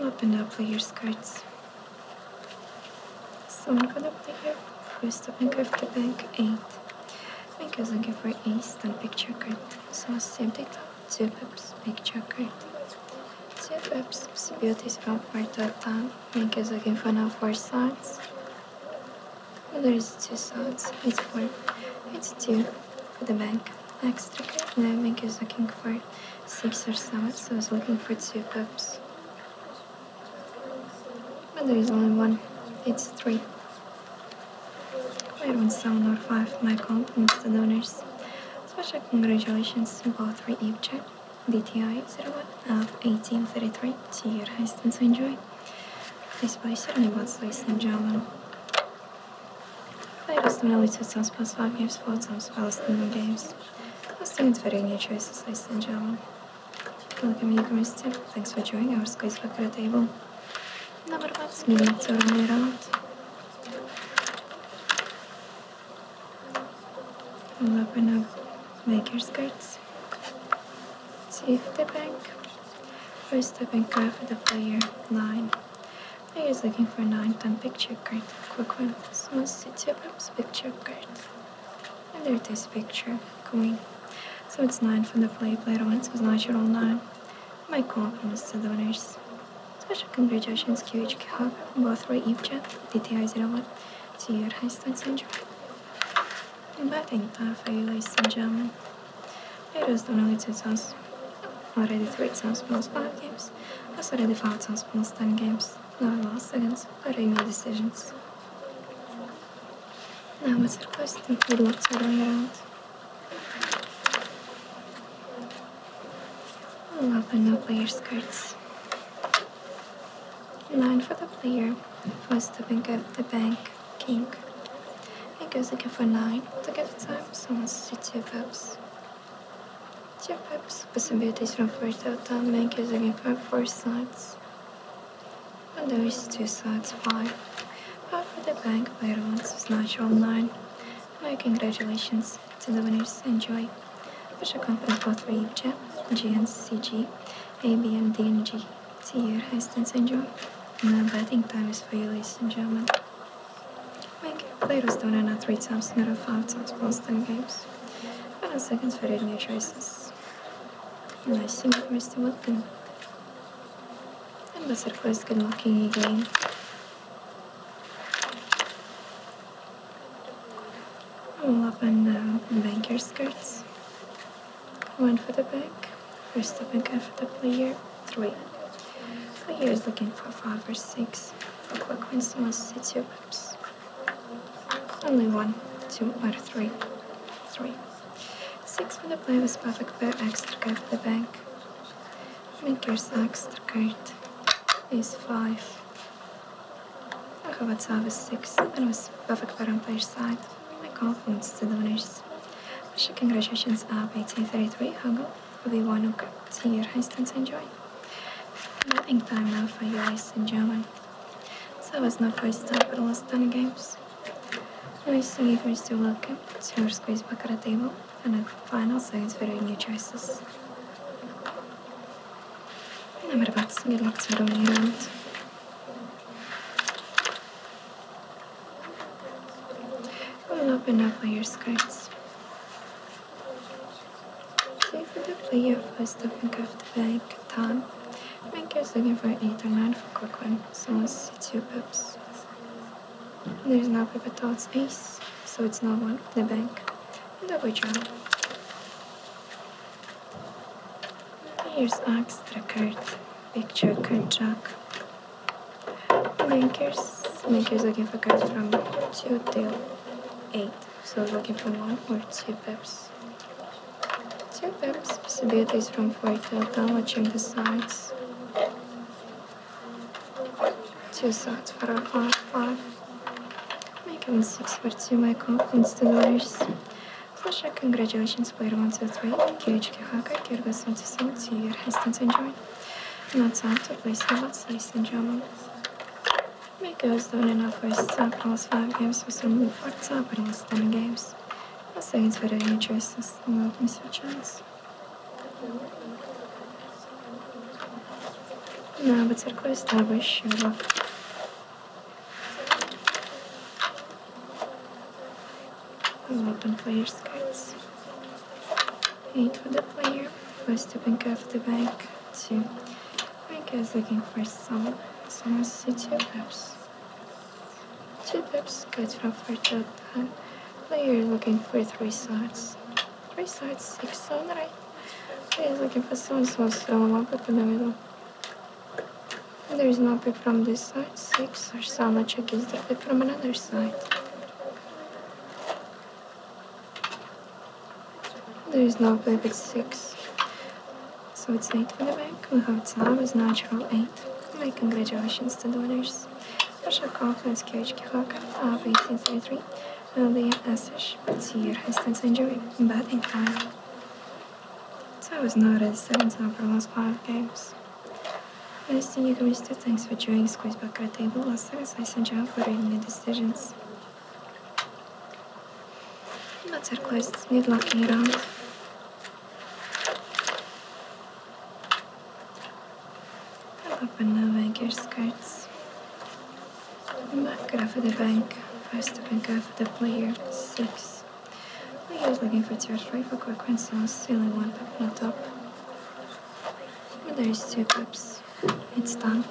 open up your skirts. São open up here. First open curve the bank eight. Make use of for east and picture card. So same data, two the picture card. Two pips, beauty from part to time. Make use of for now four sides. There's two sides. It's four. It's two for the bank. Next, okay. Now bank is looking for six or seven, so I was looking for two pups. But there is only one. It's three. I want seven or five. My compliments to donors. Special congratulations to both for Ipchat. DTI 01 of uh, 1833 to your heißt und zu enjoy. Please buy certainly what's less than Java. Players don't really suit some plus five games for some spells than games. Costing is very new choices less than Java. Welcome you guys too. Thanks for joining our squeeze back at the table. Number one's meeting to run it out. We'll open up your skirts. See Save the bank. First the bank card for the player, 9. Player was looking for 9 time picture card. Quick one. So it's two times picture card. And there's it is, picture, coin. So it's 9 for the player, player 1, so it's natural 9. My compliments to the winners. Special congratulations QHK Hub, both Ray Ivcha, DTI01, to your high stands syndrome. Inviting Taffy, ladies and gentlemen. Here is the related sounds already three sounds plus five games, plus already five sounds plus ten games. No loss against Arena decisions. Now it's requesting good luck to run around. Love and no player's cards. Nine for the player was the bank of the bank king. He goes again for nine. The gift time someone sits two pips. Two pips. Possibilities from first out time bank goes again for four sides. And there is two sides, five. But for the bank player wants is natural nine. My congratulations to the winners. Enjoy. Special conference for 3 G G N C G. DNG. ABMDNG. Sierra Heston syndrome. На batting time is Фаилис German. Майки players don't run three times another five times plus ten games. Final second for new choices. Nice to meet Mr. Wilkin. And was her first good looking again. All up in the banker skirts. One for the bank. First the card for the player. Three. Player is looking for five or six. For quick wins, you must see two pips. Only one, two, or three. Three. Six for the player with perfect pair, extra card for the bank. Make your extra card is five. Hrvatska was six and was perfect on player's side. My compliments to the winners. Russia, congratulations up uh, 1833, Hugo. We won to your instance enjoy. Nothing time now for you race in German. So it was my first stop at last 10 games. We used to give me to welcome to our squeeze back at the table and at the final sides for new choices. Number bats, good luck to the round. Go and open up all your skirts. Save for the play your first open cuff the bank. bag top. Maker's looking for 8 9 for quick one, so once it's two pips. There's no paper thoughts ace, so it's not one the bank. And double draw. Here's extra cards. picture cards. jack. Makers, makers looking for cards from 2 to 8. So looking for 1 or 2 pips. 2 pips, possibilities from 4 to 10, watching the sides. 2 sides for a 5, 5. Making 6 for 2, my confidence to dollars. Sasha, congratulations, player 123. Kirich Haka, Kirga Sensei, Tier Hastings Enjoy. Not sound to play Silva, Slice and Jamal. Make us down in our first sub, plus 5 games with remove for subbing 10 games. A second for any choices, no miss a chance. Навык церковь слабый щелок. Open player skirts. 8 for the player. First open cup of the bank 2. I guess looking for some. Someone see 2 pips. 2 pips cut from 4 to 10. Player looking for 3 sides. 3 sides, 6 on right. Player looking for some small small one up in the middle. There is no pick from this side, six, or so much against the pick from another side. There is no pick at six. So it's eight for the bank. We have time is natural eight. My congratulations to the winners. Ваша конфликт девочки Хака, а вы 33, Лия done Тир Хестенсенджери, Бат Инкрайл. So I was not as sentinel for the last five games. I just think you can miss two things for doing squeeze back at the table last second slice and jump for reading the decisions. Not so close, it's mid locking around. I love banana banker skirts. I'm not good for the bank. First up and go for the player. Six. Like he was looking for three for quick coincidence, Only one pip on top. But there is two pips. It's done.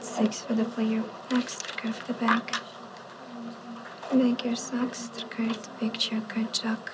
six for the player. Next, card for the bank. Banker sucks, card, picture card jack.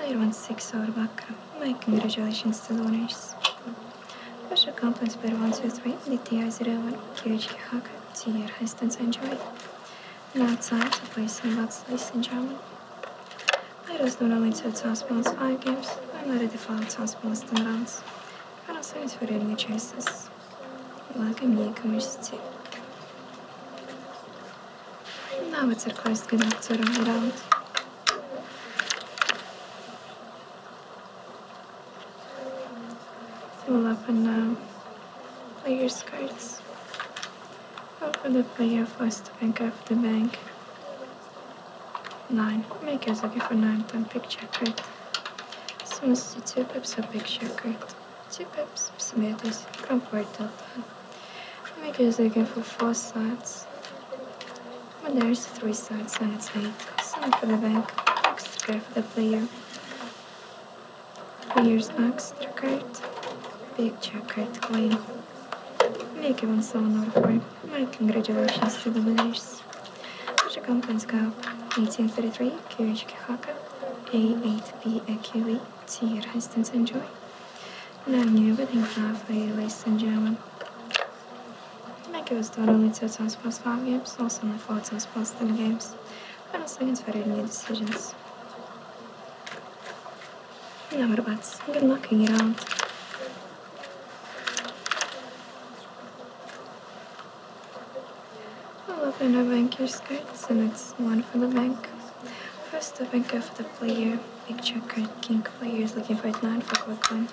I won six over back. My congratulations to the winners. Ваша комплекс первый, one, two, three, DTI 01, QHK Hacker die Reste in sein enjoy, Now it's time to play some Bugs Lace in German. I was not only to Transplant 5 games, I'm not a default Transplant 10 rounds. I don't see it's for any choices. Like a Now it's a close game to cyrkularskie doktory round. Pull open and um, player's cards. skirts. Open the player us to bank the bank. 9. Make a zagi for 9 big time picture card. Soon 2 pips a picture card. 2 pips, psimitas, comfortable. Make a zagi for 4 sides. When there's 3 sides and it's 8. Send for the bank. Extra for the player. Here's extra card, picture card claim. Make one sonar for my congratulations to the winners. Ваша компанская 1833 QH Kihaka A8PAQE Tier Hastings Enjoy. Now new wedding halfway, ladies and gentlemen. I think it was done only two times 5 games, also only four times 10 games, I don't minus against very new decisions. Number bats, good luck in your round. I love in a banker's cards, and it's one for the bank. First, the banker for the player, big checker, king player is looking for 9 for quick one,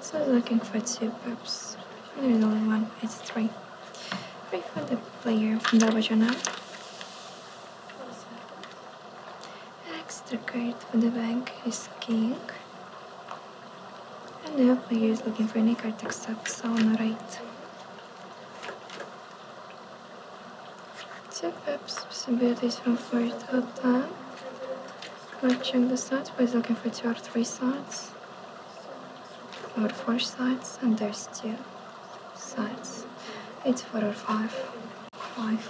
so I'm looking for 2 pips. There's only one, it's 3. Pray for the player from the Bajanam. Extra card for the bank is king. And the player is looking for any card except the right. Two pips, possibilities from 4 to 10. let the stats, but he's looking for 2 or 3 stats. There are four sides and there's two sides. It's four or five. Five.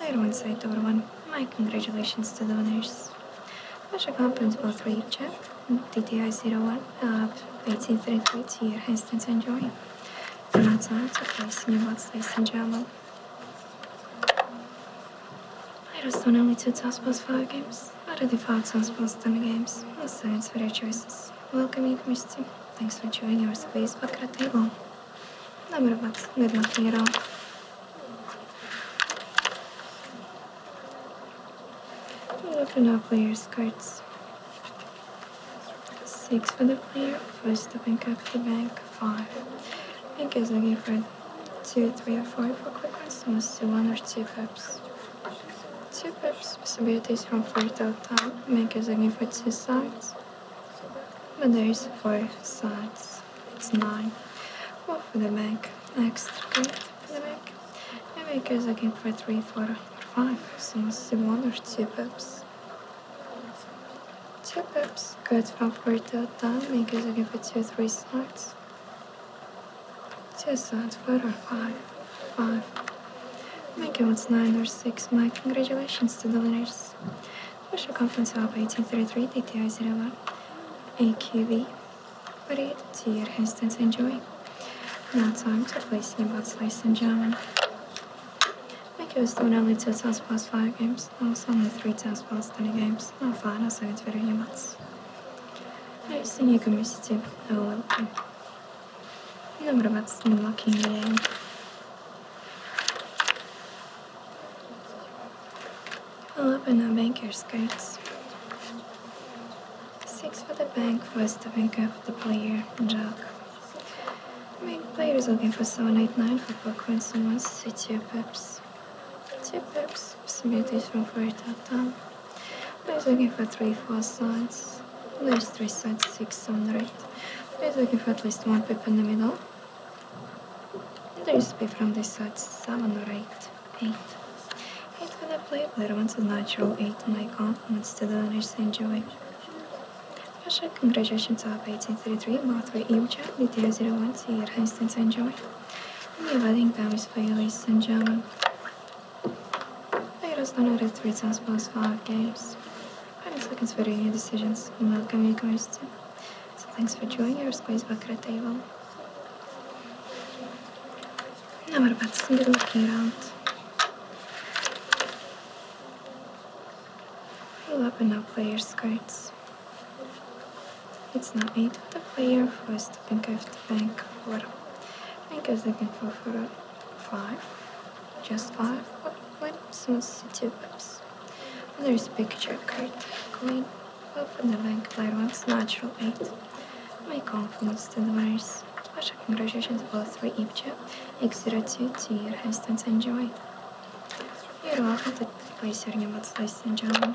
I don't want to say door one. My congratulations to the winners. Ваша группа for 3 check, DTI 01, uh, 1833 here, Hastings and Joy. Продолжается, то есть не вот здесь сначала. I just won only two toss Taskball's five games. I Utterly five Taskball's ten games. No signs for your choices. Welcome, you, Mister. Thanks for joining our space podcast table. Number of good nothing at all. Look at now, player's cards. Six for the player, first the open cap the bank, five. I guess I give her two, three, or four for quickness, must do one or two pips. Two pips possibilities from four to time make us again for two sides. But there is four sides. It's nine. What for the back, Next. good for the back. And make us again for three, or so one or two pips. Two pips, good from fourth to time, make us again for two, three sides. Two sides, four or five. Five. Making what's nine or six. My congratulations to the winners. Ваша компенсация 1833 DTI 01 AQV 48 TR Hastings Enjoy. Now time to place new bot slice and jam. Make was of only two times past five games, also only three test plus ten 20 games. Now final, so it's very humans. I Рейсинье комиссии подавалки. Добро вас с молоком I'll open a banker's cards. Six for the bank, first the banker for the player, Jack. Main player is looking for 789 for poker and someone city pips. Two pips possibilities from for tactile. Please looking for three four sides. There's three sides, six hundred. on the looking for at least one pip in the middle. There is pip from this side, seven or eight. Eight. Eight when I play player wants a natural eight and compliments to the owners enjoy. Special congratulations up 1833, Mothway Ivcha, DTO01, Sierra Instance Enjoy. I think Nie pamiętamy swojego sędziego. I was downloaded three times plus five games. I'm just looking for your decisions and welcome you guys to. So thanks for joining us. back Space the table. Now we're about to get looking around. We'll open up player's cards. It's not eight of the player who to think of the bank for I guess I can for a five. Just five. What what someone's two pips? There's a picture card. up in the bank player wants natural eight. My confidence to the virus. Special congratulations both three Ipcha. X02 to your hands and enjoy. You're welcome to play Sergey Matslais and John.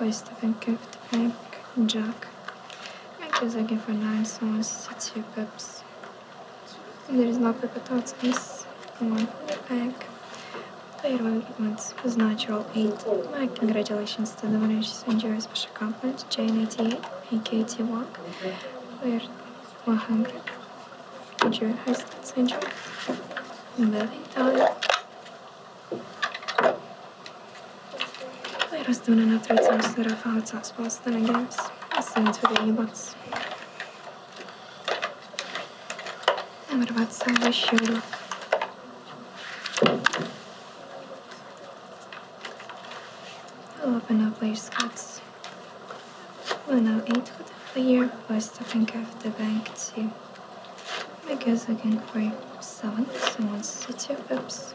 Oyster Bank, Bank, Jack. looking for nine songs, six you pips. There is no pep at all, miss. One egg. Player one wins natural eight. My congratulations to the winners and jurors for accomplishment. J98, AKT Walk. Player 100. Juror has that syndrome. Belly time. They rest una na trecím se Rafalca z Boston Games. Asi nic vědění moc. Nemrvat se ve šíru. I'll open up later, Scots. We'll now eat for the year by stopping at the bank too. Because I can for seven, someone sits your pips.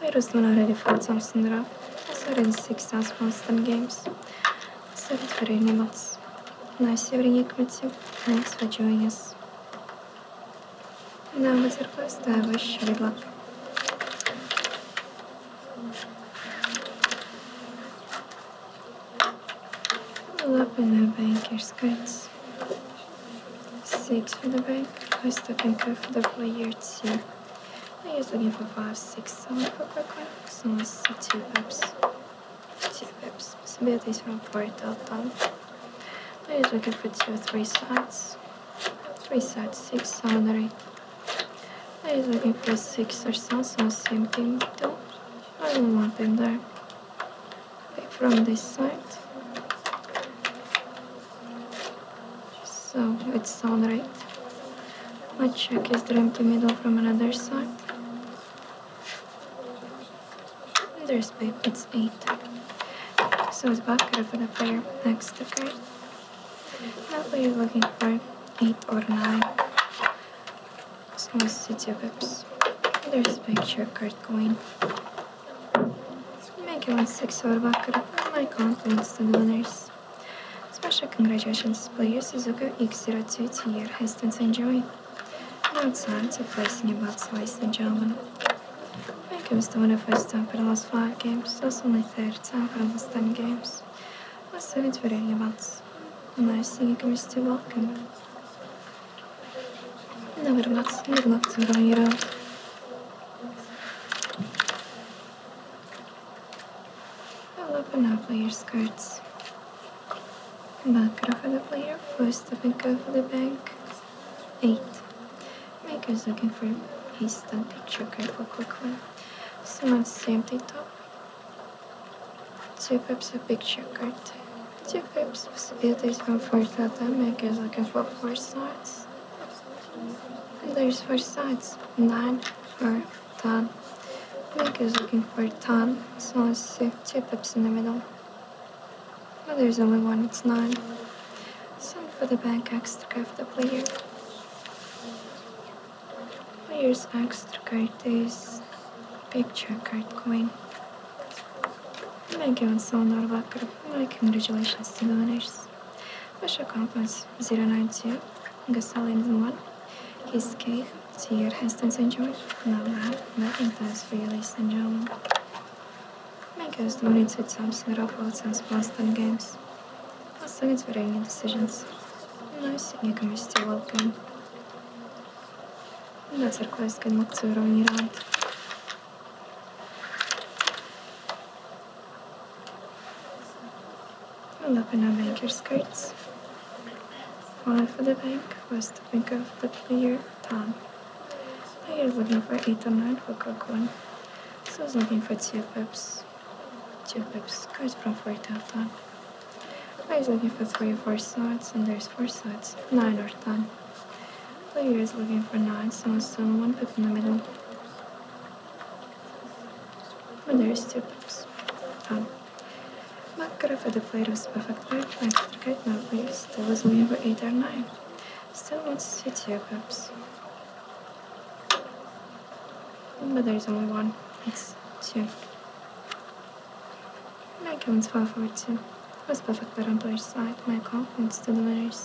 Virus nu are de față, am sândra. Сорен сексен спонсором геймс. Сорен фрейни бац. На севере кмети, на их свачуанис. На матерка ставы шрила. Лапы на банкер скайц. 6 for the back. I was looking for the player 2. I was looking for 5, 6, 7 for Brooklyn. So it's 2 pips. 2 pips. Possibilities from 4 till done. I was looking for 2, 3 sides. 3 sides, 6 soundary. I was looking for 6 or so, same thing too. I will want them there. Back from this side. So it's sounds right. Let's check his empty middle from another side. And there's babe, it's eight. So it's back up in a pair next, okay? That way you're looking for eight or nine. So it's city whips. There's a picture card going. Making one six over Bakura and my compliments to the winners. Special congratulations to player Suzuka X02 to your hastings enjoy. Now time to place in your bets, ladies and gentlemen. When it comes of winner first time for the last five games, that's only third time for the last ten games. Let's do it for your bets. Nice thing you can to welcome. Never bets, good luck to Royal. I'll open up your skirts. Back over the player, four stepping over the bank. Eight. Maker's looking for his stunt picture card for quick one. Someone's empty top. Two pips of big card. Two pips possibilities from four data. Maker's looking for four sides. There's four sides. Nine for Todd. Nick is looking for ten. so let's see two pips in the middle. But oh, there's only one, it's nine. So for the bank, X to graph the player. Player's extra card is picture card coin. Thank you and so not about Congratulations to the winners. Ваша компас 092 Gasoline 1. His cake, Sierra Heston St. George, Laura McIntyre Freely St. John. Makers donates with some snare since Boston games. Последовать variety decisions. Но сегодня мы still welcome. That's our quest, good luck to round. I'm Lapina Banker skirts. One for the bank was to think of the player Tom. Player looking for 8 or 9 for Cook 1. So was looking for 2 pips. 2 pips. Cards from 4 to 10. Player is looking for 3 or 4 slots, and there's 4 slots, 9 or 10. Player is looking for 9, so I it's 1 pip in the middle. Well, there's two cups. Um, Makkara for the plate was perfect by thanks to the memories. There was me over eight or nine. Still wants to see two cups. But there's only one. It's two. Mike one's 4 for two. It was perfect but on player's side. My compliments to the winners.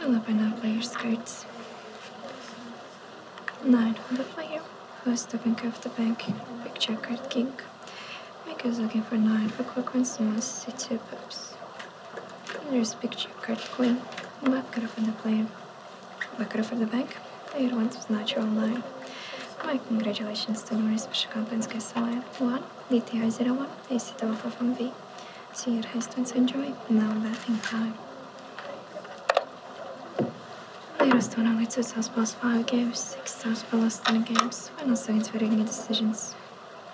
I'll open up by your skirts. Nine on the player. First to bank of the bank. Big card king. Mike is looking for nine for quick ones and wants to see two pups. There's big card queen. Mike it up on the player. Mike oh, it up for the bank. Player wants with natural nine. Oh, Mike, congratulations to Nuris Pashakapanskaya Savaya. One, DTI01, AC double from V. See, it has students enjoy now in time. Lieras to nav līdz South five games, six South Palace ten games. We're not so it's very good decisions.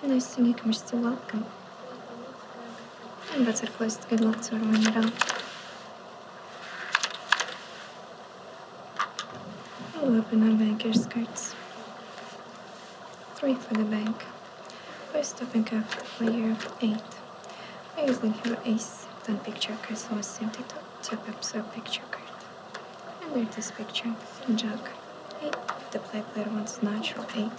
And I think you can welcome. And better of to good luck to everyone around. I'll open our banker's cards. Three for the bank. We're stopping up layer 8. we I usually have ace 10 picture card, so I simply tap up the picture card. And there's this picture, Jack 8. The play player wants natural 8.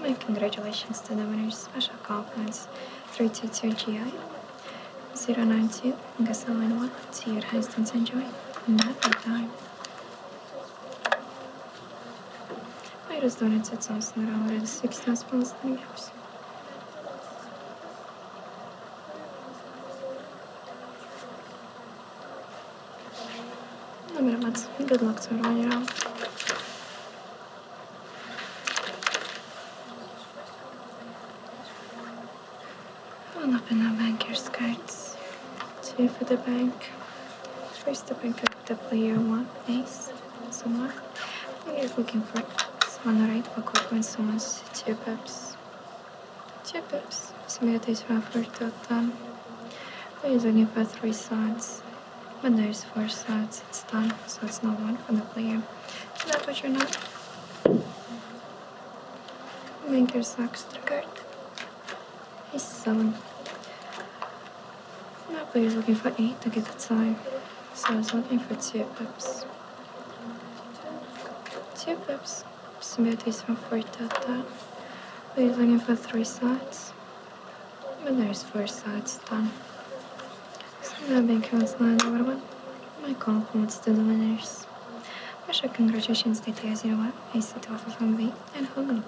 My congratulations to the winners, special call compliments 322 GI, 092, See 1, to your host and enjoy. Not that time. I just wanted to tell us that I wanted to six thousand pounds in the house. Dobra, Mats, good luck to run around. One up in our banker's cards. Two for the bank. First the banker the player one ace, someone is looking for someone right for when someone's two pips. Two pips. Smith is one for Totten. Player is looking for three sides. When there's four sides, it's done, so it's not one for the player. Is that what you're not? Make your socks the card. He's sullen. Monopoly he's looking for eight to get the time, so I was looking for two pips. Two pips. Smooth is from four to he's looking for three sides. But there's four sides done. So now being counseling over one. My compliments to the winners. Ваша congratulations, DTS01, AC2FFMV, and Hogan.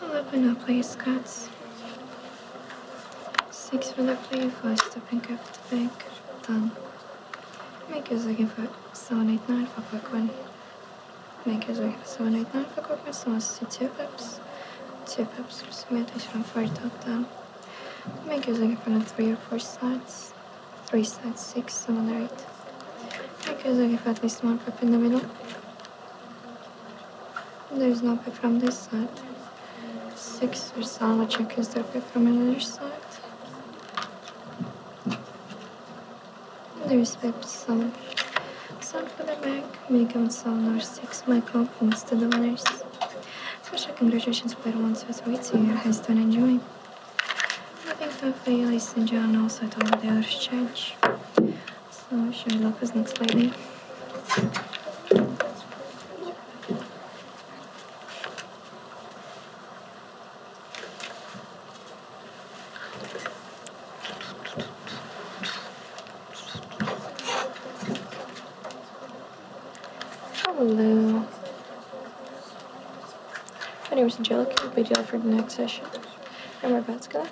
I live when I play cards. Six when I play first to pick up the back. Done. Make use again for 789 for quick one. Make use again for 789 for quick one. So see two pips. Two pips for submitted from 4 dot done. Make use again for 3 or 4 sides. 3 sides, 6, 7 or 8. Make use again for at least one pip in the middle. There's nothing from this side. Six or some which accused their pay from another side. There's pay some. Some for the bank, make and some or six my compliments to the winners. Special congratulations player one two three to your are one enjoy. Having fun for you, ladies and gentlemen, also to all the other change. So should we lock his neck slightly? Hello. My name is Angelica. I'll be there for the next session. And we're about to go.